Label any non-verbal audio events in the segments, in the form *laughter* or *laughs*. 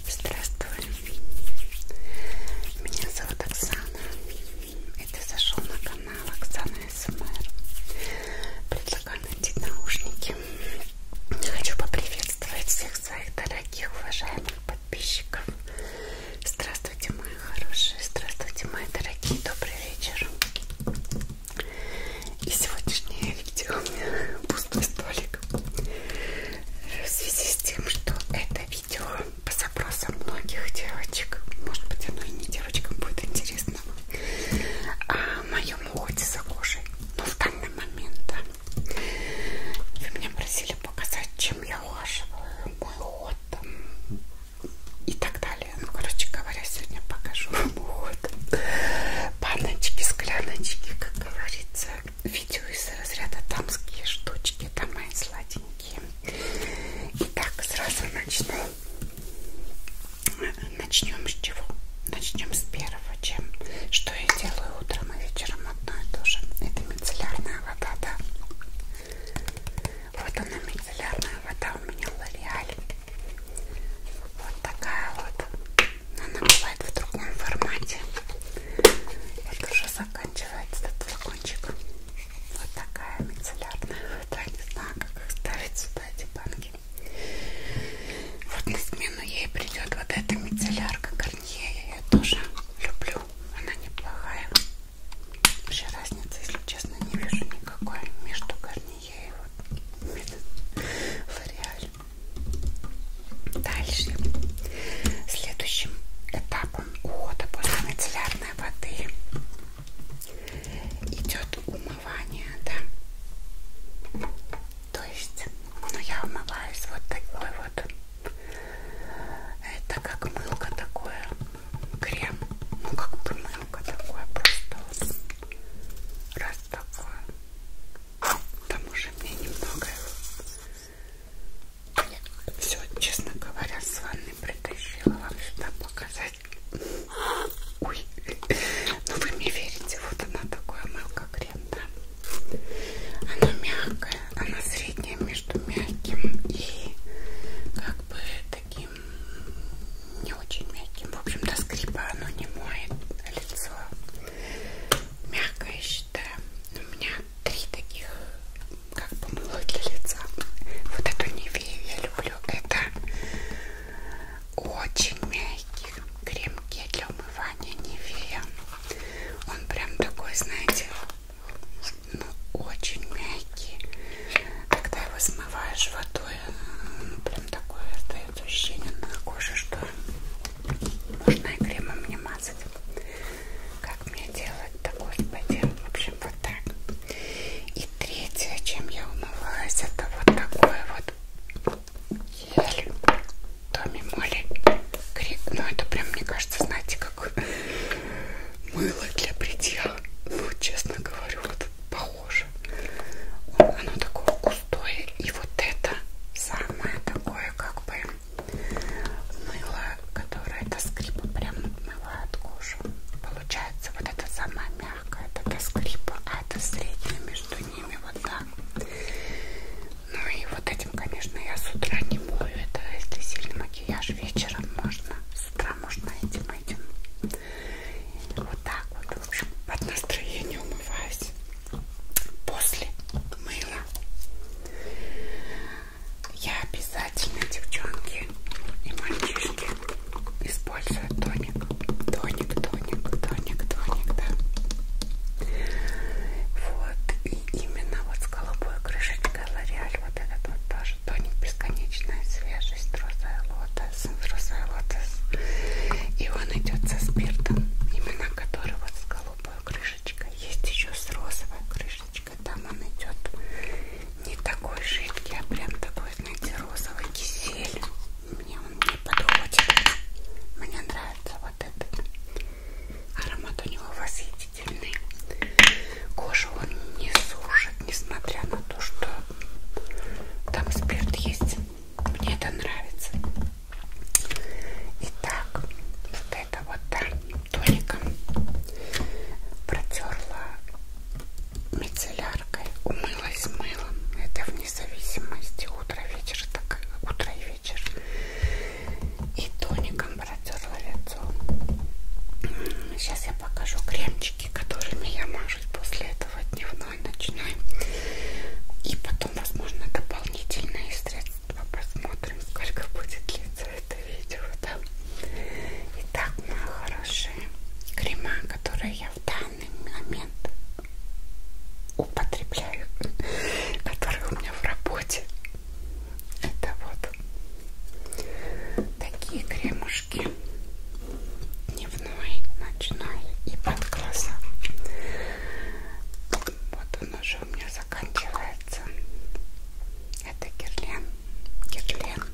Здравствуй, меня зовут Оксана, и ты зашел на канал Оксана СМР. Эм Предлагаю найти наушники. Хочу поприветствовать всех своих дорогих, уважаемых подписчиков. Здравствуйте, мои хорошие, здравствуйте, мои дорогие, добрый вечер. И сегодняшнее видео у меня пустой столик мальчик. В связи с тем, что это видео по запросам многих девочек, может быть, оно и не девочкам будет интересно, о а, моем уходе за кожей. Но в данный момент, да. Вы меня просили показать, чем я ухаживаю, мой уход и так далее. Ну, короче говоря, сегодня покажу вам уход. Баночки, скляночки, как говорится видео из разряда тамские штучки, там мои сладенькие. Итак, сразу начну. Начнем с чего? Начнем с первого, чем что я делаю утром и вечером одно и то же. Это мицеллярная вода, да. Вот она мицеллярная вода у меня лореаль. Вот такая вот но она бывает в другом формате. Вот уже заканчивается этот флакончик. Вот такая мицеллярная вода. Не знаю, как их ставить сюда эти банки. Вот на смену ей придет вот эта мицеллярка Гарнье. Я ее тоже люблю. Она неплохая. Вообще разницы, если честно, не вижу никакой между Гарнье и вот Лореаль. Дальше. Следующим этапом ухода после мицеллярной воды идет умывание, да. То есть, ну я умываюсь вот такой вот. Это как мылка такое, крем. Ну как бы мылка такое, просто раз такое. Там уже мне немного все, честно говоря, с вами притащила вам сюда показать. Ой, ну вы мне верите, вот она такое мылка крем, да? Она мягкая, она средняя между мягким и как бы таким не очень мягким. В общем, до скрипа оно не моет лицо мягкое считаю. У меня три таких, как помылок для лица. Вот эту Невею я люблю. Это очень мягкий крем-гель для умывания Невея. Он прям такой, знаете, ну, очень мягкий. Когда его смываешь водой, он прям такой, да, остается ощущение на коже, что можно и кремом не мазать. Как мне делать-то, господи? В общем, вот так. И третье, чем я умывалась, это вот такой вот гель Томи Молли. Ну, это прям, мне кажется, знаете, как мыло для бритья. Ну, честно говорю, вот похоже. Оно такое густое. И вот это самое такое, как бы мыло, которое до скрипа прям отмывает кожу. Получается, вот это самое мягкое, это до скрипа, а это среднее между ними, вот так. Ну и вот этим, конечно, я с утра не мою. Это если сильный макияж вечером можно. С утра можно этим этим. Вот так вот. В общем, под настроение умываюсь после мыла я обязательно, девчонки и мальчишки, использую тоник. Тоник, тоник, тоник, тоник, да. Вот, и именно вот с голубой крышечкой Лореаль, вот этот вот тоже тоник бесконечная свежесть, розовая лотос, розовая лотос. И он идет со спиртом, именно на которой вот с голубой крышечкой есть еще с розовой крышечкой там он идет не такой жидкий а прям такой знаете розовый кисель мне он не подходит мне нравится вот этот аромат у него восхитительный кожу он не сушит несмотря на то что там спирт есть мне это нравится Итак, вот это вот да, тоником протерла мицелляркой, умылась мылом. Это вне зависимости утро, вечер, так утро и вечер. И тоником протерла лицо. Сейчас я покажу кремчики, которыми я мажусь после этого дневного основной ночной. И потом, возможно, дополнительные средства. Посмотрим, сколько будет длиться это видео. Да? Итак, мои хорошие крема, которые я в данный момент употребляю, *laughs* которые у меня в работе. Это вот такие кремушки дневной, ночной и под глаза. Вот он уже у меня заканчивается. Это герлен. Герлен.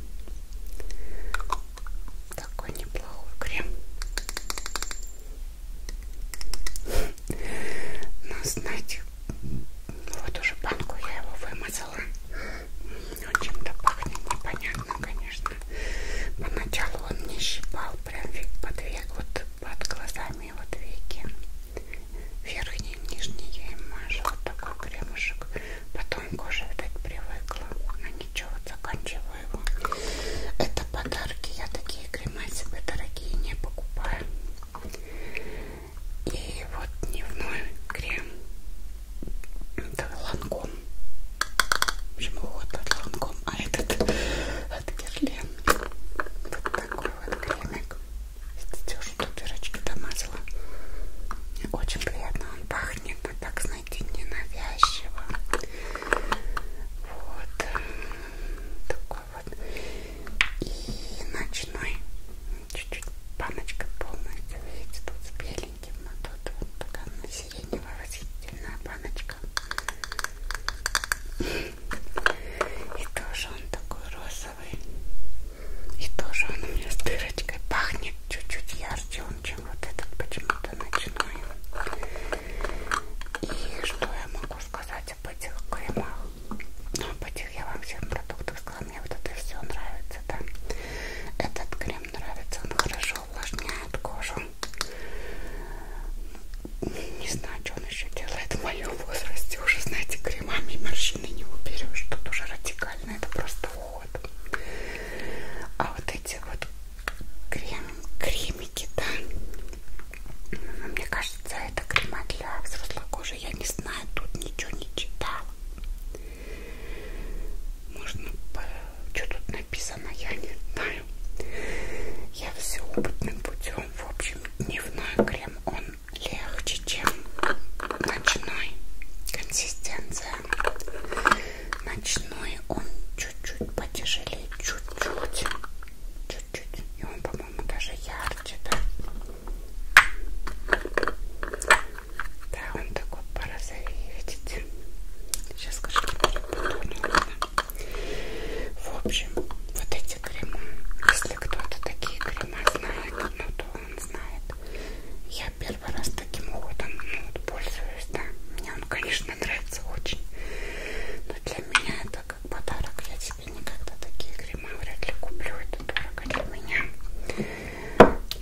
Такой неплохой крем. Но знаете, вот уже банку я его вымазала. Он чем-то пахнет непонятно, конечно. Поначалу он не щипал, прям под век, вот под глазами вот веки. Верхние, нижние я им мажу. Вот такой кремушек. Потом кожа, видать, привыкла. Но а ничего, вот заканчиваю его. Это подарки. Я такие крема себе дорогие не покупаю. И вот дневной крем. Это ланком. В общем, вот от ланком. А этот от Герлен. Вот такой вот кремик. Видите, уже тут дырочки домазала. Очень приятно он пахнет, но так, знаете, ненавязчиво. Вот. Такой вот. И ночной. Чуть-чуть баночка полностью. Видите, тут с беленьким, но тут вот такая сиреневая восхитительная баночка. И тоже он такой розовый. И тоже он у меня с дырочкой пахнет чуть-чуть ярче, он, чем вот этот почему-то ночной. И что я могу сказать об этих кремах? Ну, об этих я вам всем продуктов сказала. Мне вот это все нравится, да. Этот крем нравится, он хорошо увлажняет кожу. Не знаю, что он еще делает в моем возрасте. Уже, знаете, кремами морщины не уберешь. Тут уже радикально. Это просто уход. А вот эти вот крем, кремики, да. Ну, мне кажется, это крема для взрослой кожи. Я не знаю, тут ничего не читала. Можно... Что тут написано, я не знаю. Я все опытным путем. В общем, дневной крем, он легче, чем ночной. Консистенция. Ночной он чуть-чуть потяжелее, чуть-чуть. Чуть-чуть. И он, по-моему, даже ярче, да? Да, он такой порозовее, видите? Сейчас, скажу, перепутаю, ладно? В общем, вот эти крема, если кто-то такие крема знает, ну то он знает. Я первый раз таким уходом ну, вот пользуюсь, да. Мне он, конечно, нравится очень. Но для меня это как подарок. Я себе никогда такие крема вряд ли куплю. Это дорого для меня.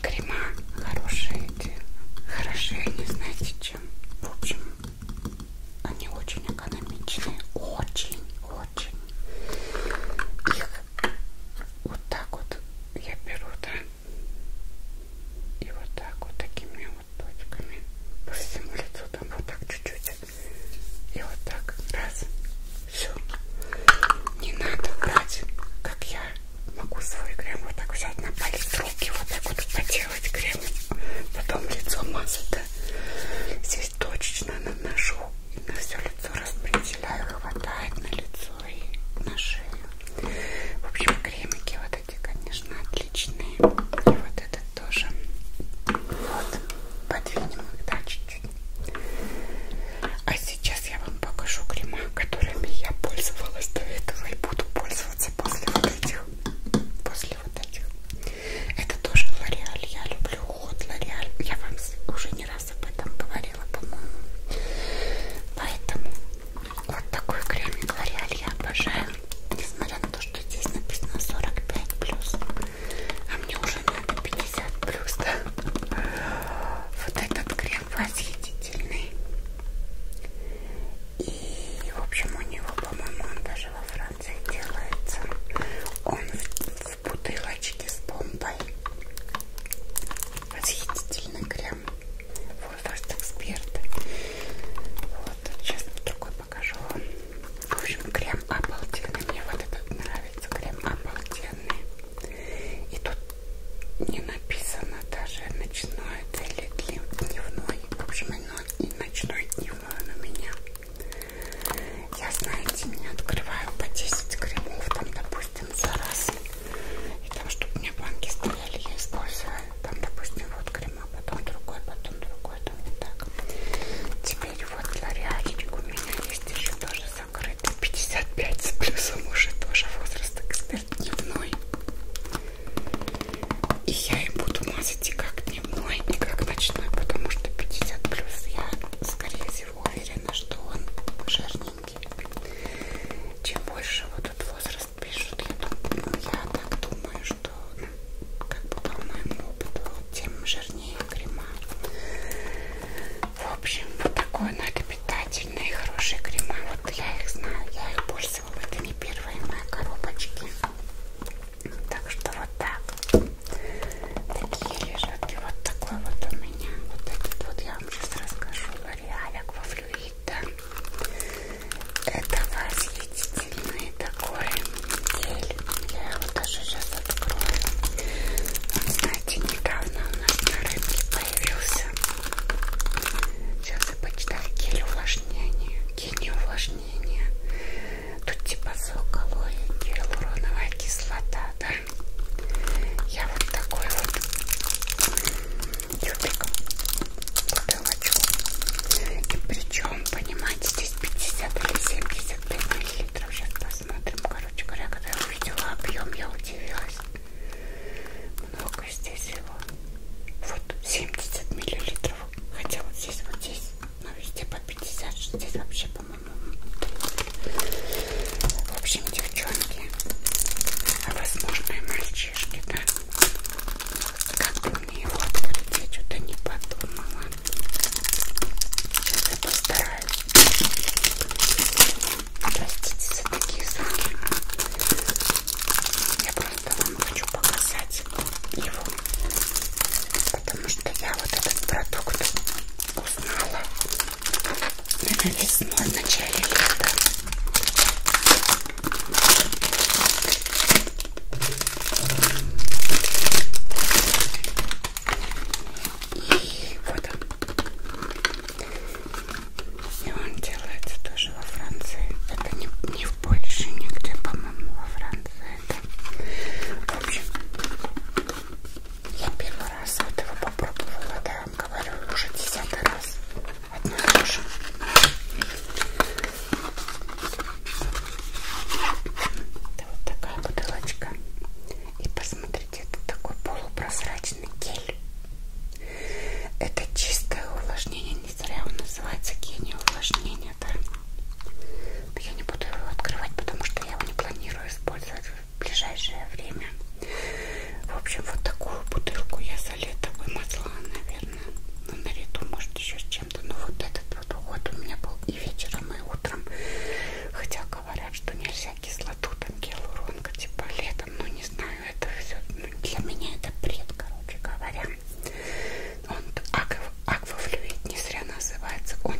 Крема хорошие эти. Хорошие они, знаете, чем. В общем, они очень экономичные, очень, очень. Их вот так вот я беру, да, и вот так вот такими вот точками по всему лицу, там вот так чуть-чуть, и вот так, раз, все. Не надо брать, как я могу свой крем вот так взять на палец руки, вот так вот потер смешивать крем, потом лицо масло здесь точечно наношу и на все лицо распределяю, хватает на лицо и на шею. В общем, кремики вот эти, конечно, отличные. И вот этот тоже. Вот, подвинем их, да, чуть-чуть. А сейчас я вам покажу крема, которыми я пользовалась до этого и буду пользоваться после вот этих. После вот этих. Это тоже Лореаль. Я люблю уход Лореаль. Я вам уже не раз об этом говорила, по-моему. Поэтому вот такой кремик Лореаль я обожаю. Несмотря на то, что здесь написано 45 плюс, а мне уже надо 50 плюс, да? Вот этот крем восхитительный. И, в общем, у него, по-моему, он даже во Франции Франции делается. Он в, в бутылочке с бомбой. Восхитительный крем. Возраст эксперта. Вот. Сейчас другой покажу вам. В общем, крем обалденный. Мне вот этот нравится. Крем обалденный. И тут не написано даже ночное или дневной. В общем, оно и ночной дневной у меня. Я, знаете, не открываю по 10 кремов, там, допустим, за раз. И там, чтобы у меня банки стояли, я использую. Там, допустим, вот крема, потом другой, потом другой, там не так. Теперь вот лореальчик у меня есть еще тоже закрытый. 55 с плюсом уже тоже возраст эксперт дневной. И я им буду мазать и как дневной, и как ночной, потому что 50 плюс я скорее всего уверена, что он жирненький. Чем больше вот этот возраст пишут, я, думаю, ну, я так думаю, что ну, как бы по моему опыту, тем жирнее крема. В общем, вот такой надо питательные, хорошие крема. Вот я их знаю, я их пользовала. Это не первые мои коробочки. Так что вот так. Такие лежаки. Вот такой вот у меня. Вот этот вот я вам сейчас расскажу. Реалик во флюида. Это восхитительный такой гель. Я его даже сейчас открою. Он, знаете, недавно у нас на рынке появился. Сейчас я почитаю гель увлажнения. Гель увлажнения соединение. Тут типа сок алоэ, гиалуроновая кислота, да? Я вот такой вот тюбик, бутылочку. И причем, понимаете, здесь 50 или 75 миллилитров. Сейчас посмотрим. Короче говоря, когда я увидела объем, я удивилась. Много здесь его. Вот 70 миллилитров хотя вот здесь, вот здесь, но ну, везде по 50, здесь вообще, по-моему, в общем, девчонки, возможно, и мальчишки, да, как бы мне его открыть, я что-то не подумала, сейчас я постараюсь, простите за такие звуки, я просто вам хочу показать, купить его, потому что я вот этот продукт узнала на весной, в начале лета. И вот он. И он делается тоже во Франции. Это не, не в больше нигде, по-моему, во Франции. Это... В общем, я первый раз вот его попробовала, да, говорю, уже десятый раз. Одно и то же. Это вот такая бутылочка. И посмотрите, это такой полупрозрачный гель. Это чистое увлажнение, не зря он называется гений увлажнения нет. Но я не буду его открывать, потому что я его не планирую использовать в ближайшее время. В общем, вот такую бутылку я за лето вымазала, наверное. Ну, наряду, может, еще с чем-то. Но ну, вот этот вот уход у меня был и вечером, и утром. Хотя говорят, что нельзя кислоту, там гиалуронка, типа летом. Ну, не знаю, это все. Ну, для меня это бред, короче говоря прям. Он аквафлюид не зря называется. Он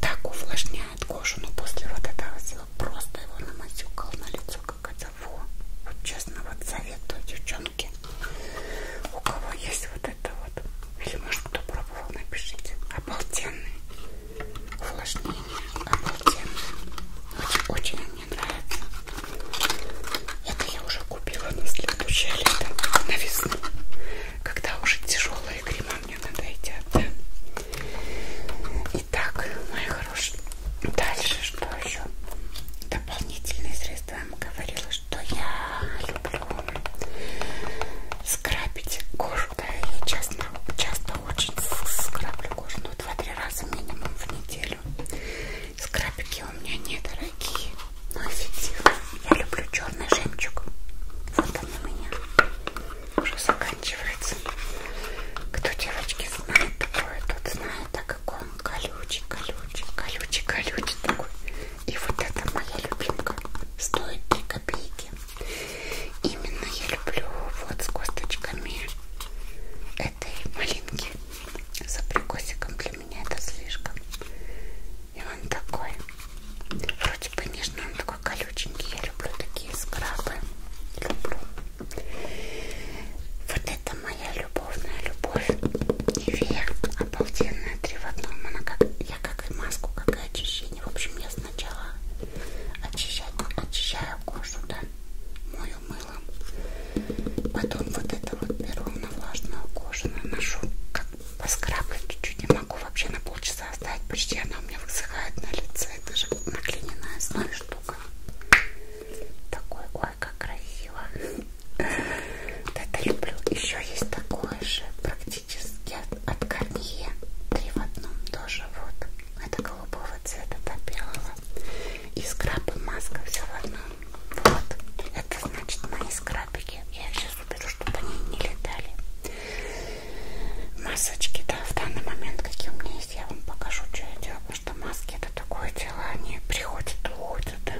так увлажняет кожу, но после вот этого всего просто его намазюкал на лицо, как это во. Вот честно, вот советую, девчонки, у кого есть вот это вот, или может кто пробовал, напишите. Обалденный увлажнение, обалденный. Очень, очень мне нравится. Это я уже купила на следующее лето, на весну, когда уже тяжелые крема мне надоедят. Да? Итак, мои хорошие, дальше что еще? Дополнительные средства. Я вам говорила, что я люблю скрабить кожу. Да, я часто, часто очень скраблю кожу, ну, 2-3 раза минимум в неделю. Скрабики у меня недорогие, но ну, эффективные. Я люблю черный жемчуг. Вот он у меня уже заканчивается. Кто девочки знает такое, тот знает, так как он колючий, колючий, колючий, колючий такой. И вот это моя любимка. Стоит 3 копейки. Именно я люблю вот с косточками этой малинки за прикосиком для для меня это слишком. И он такой, вроде бы нежный, он такой колюченький. Я люблю такие скрабы. Люблю. Вот это моя любовная любовь. Нивея обалденная, три в одном. Она как, я как и маску, как и очищение. В общем, я сначала очищаю, очищаю кожу, да, мою мылом. Потом вот это вот беру на влажную кожу, наношу, как поскрабливать чуть-чуть, не могу вообще на полчаса оставить, почти она у меня высыхает на лице, это же на глиняной основе штука. Такой, ой, как красиво. Вот это люблю. Еще есть такое же практически от Гарнье. Три в одном тоже вот. Это голубого цвета, да белого. И скраб и маска все в одном вот. Это значит мои скрабики. Я их сейчас уберу, чтобы они не летали. Масочки, да, в данный момент, какие у меня есть, я вам покажу, что я делаю. Потому что маски это такое дело, они приходят и уходят. Да?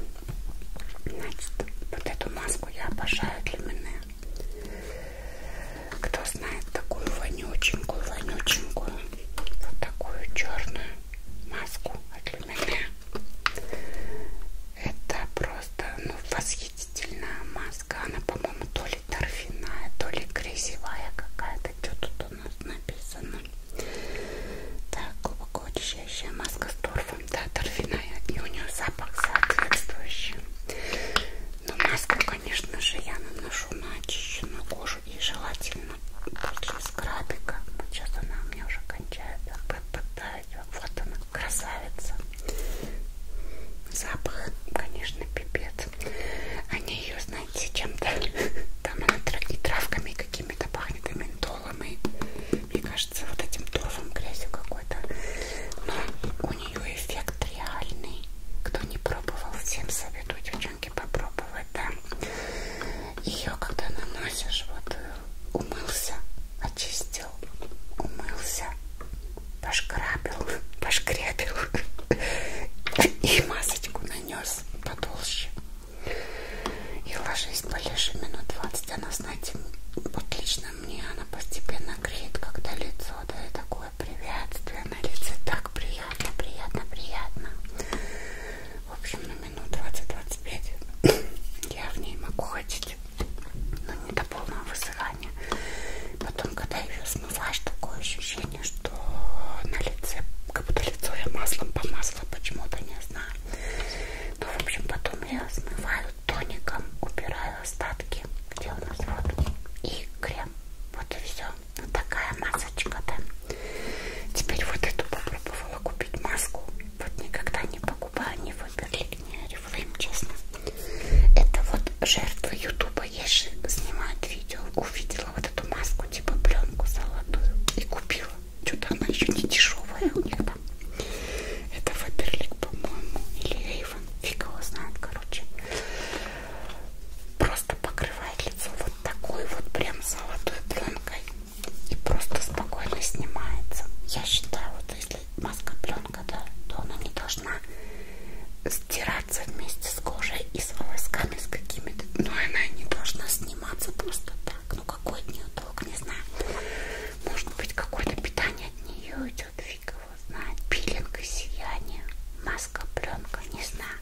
Значит, вот эту маску я обожаю для меня. Кто знает такую вонюченькую, вонюченькую, вот такую черную маску от меня. Это просто ну, восхитительная маска. Она, по-моему, то ли торфяная, то ли грязевая какая-то. Что тут у нас написано? Так, глубоко очищающая маска с торфом. Да, торфяная. И у нее запах соответствующий. Но маску, конечно же, я наношу на очищенную кожу и желательно после скрабика. Вот сейчас она у меня уже кончается да, вот она, красавица. Запах, конечно, пипец. Они ее, знаете, чем-то *laughs* там она и травками какими-то пахнет, и ментолом, и, мне кажется, вот этим торфом грязью какой-то. Но у нее эффект реальный. Кто не пробовал, всем советую, девчонки, попробовать, да ее когда наносишь, вот э, умылся, очистил, умылся, пошкрабил, *laughs* пошкрябил *laughs* и масочку нанес потолще. И ложись, полежи минут 20. Она, знаете, вот лично мне она постепенно греет, когда лицо дает такое приветствие на лице. Так приятно, приятно, приятно. В общем, на ну 20-25 *coughs* я в ней могу ходить, но не до полного высыхания. Потом, когда ее смываешь, такое ощущение, что на лице, как будто лицо я маслом помазала, почему-то не знаю. Ну, в общем, потом я смываю тоником, убираю остатки, где у нас вот, и крем. Вот и все. Вот такая масочка, да. Теперь вот эту попробовала думала купить маску. Вот никогда не покупаю, не выберли мне Oriflame, честно. Это вот жертвы Ютуба. Я же снимаю видео, увидела вот эту маску, типа пленку золотую, и купила. Что-то она еще не дешевая у них там. Это Фаберлик, по-моему, или Эйвен. Фиг его знает, короче. Просто покрывает лицо вот такой вот прям золотой пленкой и просто спокойно снимается. Я считаю, вот если маска пленка, да, то она не должна стираться вместе с кожей и с волосками, с какими-то. Но она не должна сниматься просто так. Ну какой от нее толк, не знаю. Может быть какое-то питание от нее идет, фиг его знает. Пилинг и сияние. Маска пленка, не знаю.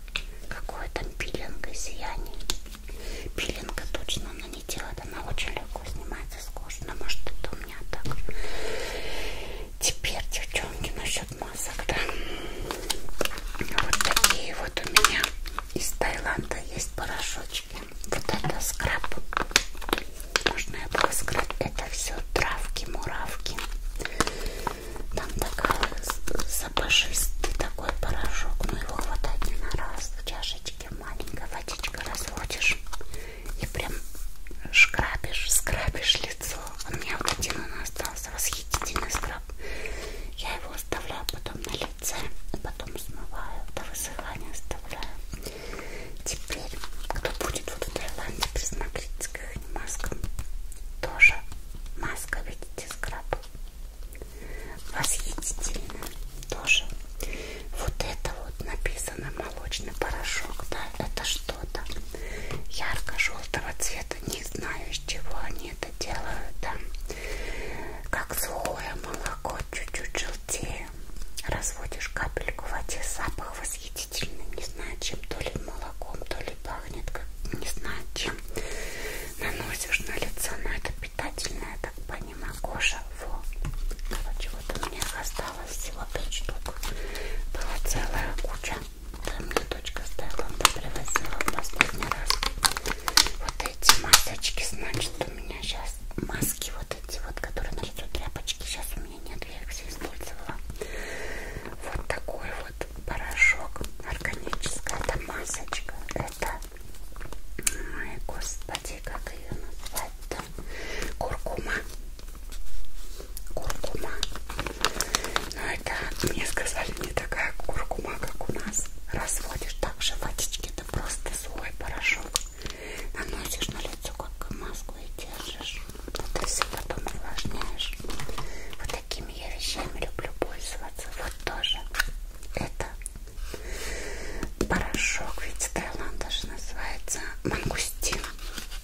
Какое там пилинг и сияние. Пилинга точно она не не делает, она очень легко снимается с кожи, но может это у меня так же. Теперь, девчонки, насчет масок, да? Вот такие вот у меня из Таиланда есть порошочки. Вот это скраб. Можно я буду сказать, это все травки, муравки. Там такой запашистый такой порошок, но ну, его хватает не на раз в чашечке ты маленькая водичка разводишь и прям шкрабишь, скрабишь лицо. У меня вот один он остался, восхитительный скраб. Я его оставляю потом на лице, и потом смываю, до высыхания оставляю. Теперь, кто будет вот в Таиланде, присмотритесь к их маскам. Тоже маска, видите, скраб. Восхитительно тоже. Вот это вот написано молочный порошок, да, это что-то ярко-желтого цвета. Не знаю, из чего они это делают, да. Как сухое молоко, чуть-чуть желтее. Разводишь капельку в воде, запах восхитительный. Не знаю, чем, то ли молоком, то ли пахнет, как не знаю чем. Наносишь на лицо, но это питательное, я так понимаю помимо кожа во короче вот у меня осталось всего 5 штук была целая куча там мне дочка Таиланда привозила в последний раз вот эти масочки значит у меня сейчас маски вот эти вот которые на лицо тряпочки сейчас у меня нет я их все использовала вот такой вот порошок органическая это масочка это Ой, господи, как ее назвать-то? Куркума. Куркума. Ну это, мне сказали, не такая куркума, как у нас. Разводишь также водички, это просто сухой порошок. Наносишь на лицо, как маску и держишь. Это все потом увлажняешь. Вот такими я вещами люблю пользоваться. Вот тоже. Это Порошок, видите, Таиланд даже называется мангустин.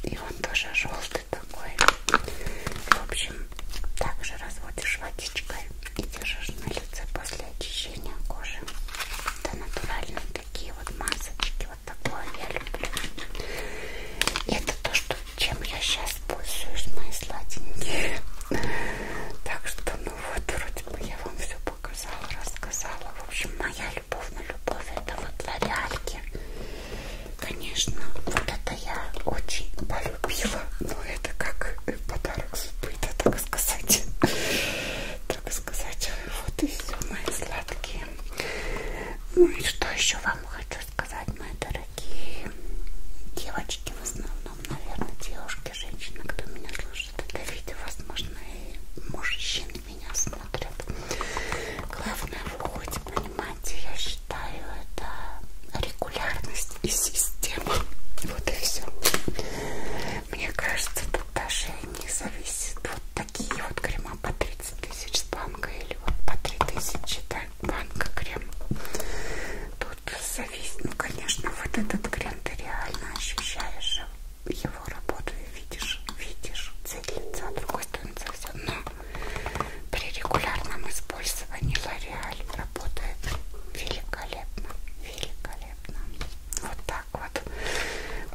И он тоже желтый такой. В общем, также разводишь водичкой и держишь на лице после очищения кожи. Это натуральные такие вот масочки. Вот такое я люблю. И это то, что, чем я сейчас пользуюсь, мои сладенькие. Так что, ну, вот вроде бы я вам все показала, рассказала. В общем, моя любовь на любовь это вот лореальки. Конечно, вот это я очень полюбила. Но ну, это как подарок судьбы, да, так сказать. Так сказать. Вот и все, мои сладкие. Ну и что еще вам хочу сказать, мои дорогие девочки, в основном, наверное, девушки какая-то женщина, кто меня слушает это видео, возможно, и мужчины меня смотрят. Главное, вы хоть понимаете, я считаю, это регулярность и система. Вот и все. Мне кажется, тут даже не зависит вот такие вот крема по 30 тысяч с банка или вот по 3000 да, банка крем. Тут вот зависит, ну конечно, вот этот крем ты реально ощущаешь его работу и видишь, видишь цвет лица, другой стороны совсем, но при регулярном использовании L'Oreal работает великолепно, великолепно, вот так вот,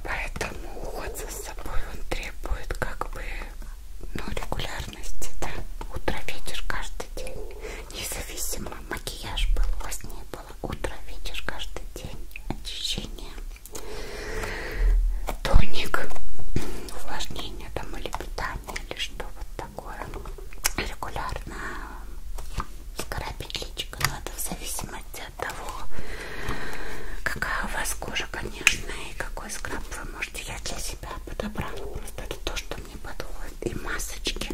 поэтому уход за собой он требует как бы, ну, регулярности, да, утро, вечер, каждый день, независимо макияж был, у вас не было утро видишь каждый день очищение тоник увлажнение там или питание или что вот такое регулярно скоропить личико но это в зависимости от того какая у вас кожа конечно и какой скраб вы можете я для себя подобрала просто это то что мне подходит. И масочки.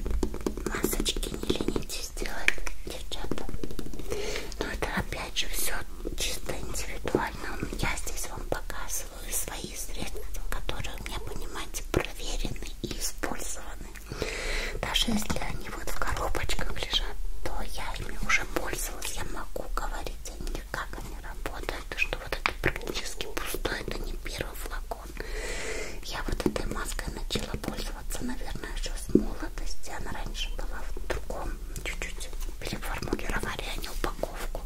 Масочки не ленитесь делать, девчата. Но это опять же все чисто индивидуально. Я здесь вам показываю свои средства, которые у меня, понимаете, проверены и использованы. Даже если они вот в коробочках лежат, то я ими уже пользовалась. Я могу говорить о них, как они работают, и что вот это практически пустой, это не первый флакон флакон. Я вот этой маской начала пользоваться, наверное, еще с молодости. Она раньше была в другом, чуть-чуть переформулировали они упаковку.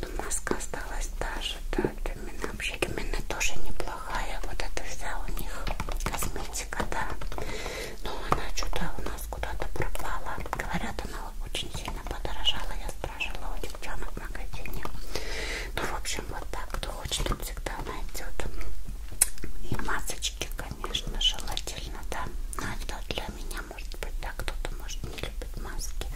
Но маска осталась та же, да, Домина. Вообще Домина тоже неплохая. Вот это вся у них косметика, да. Но она что-то у нас куда-то пропала. Говорят, она очень сильно подорожала. Я спрашивала у девчонок в магазине. Ну, в общем, вот так. Кто хочет всегда найдет. И масочки, конечно, желательно, да. Но ну, это а для меня, может быть, да, кто-то, может, не любит маски.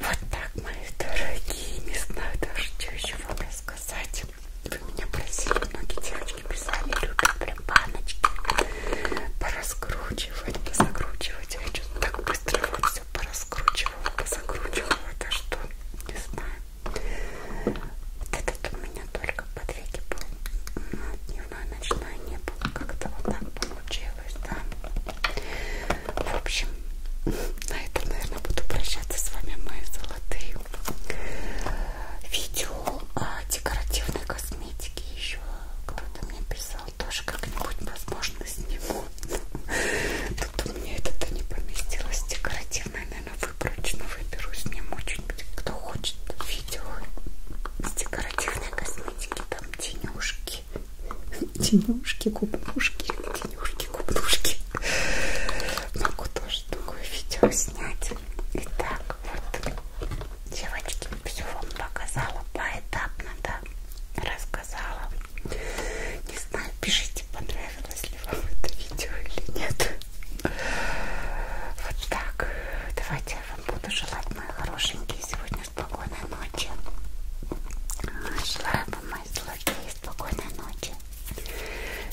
Вот так, мои дорогие, не знаю даже, что еще вам рассказать. Вы меня просили, многие девочки писали, любят прям баночки пораскручивать, позакручивать. Я что-то так быстро вот все пораскручивала, позакручивала, это что, не знаю. Вот этот у меня только под веки был, дневной, ночной не было, как-то вот так получилось, да. В общем, на этом, наверное, буду прощаться с вами, мои золотые. Видео о декоративной косметике еще кто-то мне писал, тоже как-нибудь, возможно, сниму. Тут у меня это-то не поместилось. Декоративное, наверное, выборочно выберу. Сниму что-нибудь, кто хочет видео с декоративной косметики. Там тенюшки. Тенюшки, губнушки. Тенюшки, губнушки. Могу тоже такое видео снять. Итак, вот, девочки, все вам показала поэтапно, да, рассказала. Не знаю, пишите, понравилось ли вам это видео или нет. Вот так. Давайте я вам буду желать, мои хорошенькие, сегодня спокойной ночи. Желаю вам, мои сладкие, спокойной ночи.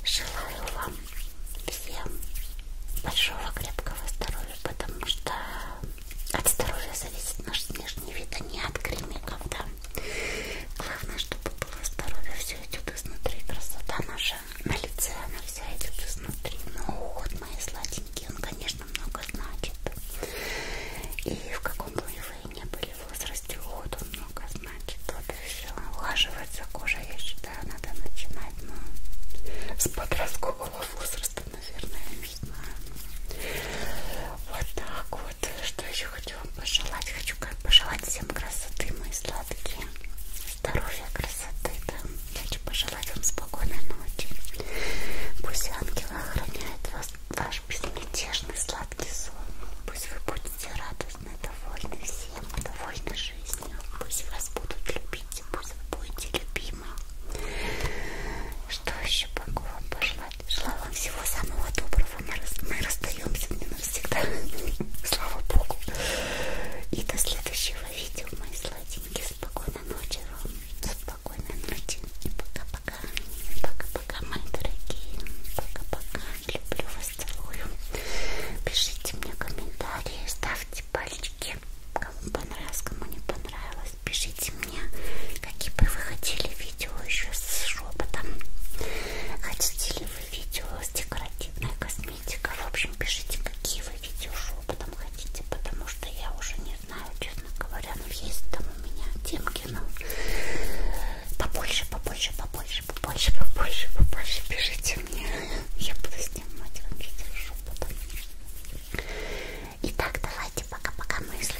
Желаю вам всем большого крепкого здоровья, потому что от здоровья зависит наш внешний вид, а не от кремиков, да. Главное, чтобы было здоровье, все идет изнутри. Красота наша на лице, она вся идет изнутри. Но уход мои сладенькие, он, конечно, много значит. И в каком бы вы ни были в возрасте, уход он много значит. Вот и все. Ухаживать за кожей, я считаю, надо начинать, но с подросткового возраста, наверное, я не знаю. Вот так вот. Что еще хочу хочу вам пожелать, хочу пожелать всем красоты, мои сладкие, здоровья, красоты, да. Хочу пожелать вам спокойной ночи. Пусть ангелы охраняют вас, ваш безмятежный сладкий сон. Пусть вы будете радостны, довольны всем, довольны жизнью. Пусть вас будут любить, пусть вы будете любимы. Что еще могу вам пожелать? Вот. Желаю вам всего самого доброго. Мы, рас... мы расстаемся не навсегда. *laughs* Слава Богу. И до следующего видео, мои сладенькие. Спокойной ночи, Ром. Спокойной ночи. И пока-пока. Пока-пока, мои дорогие. Пока-пока. Люблю вас, целую. Пишите мне комментарии, ставьте пальчики. Кому понравилось, кому не понравилось. Пишите мне какие бы вы хотели видео еще с шепотом? Хотите ли вы видео с декоративной косметикой? В общем, пишите, какие вы видео шепотом хотите, потому что я уже не знаю, честно говоря, но ну, есть там у меня темки, но побольше, побольше, побольше, побольше, побольше, побольше пишите мне. Я буду снимать вам видео шепотом. Итак, давайте пока-пока мысли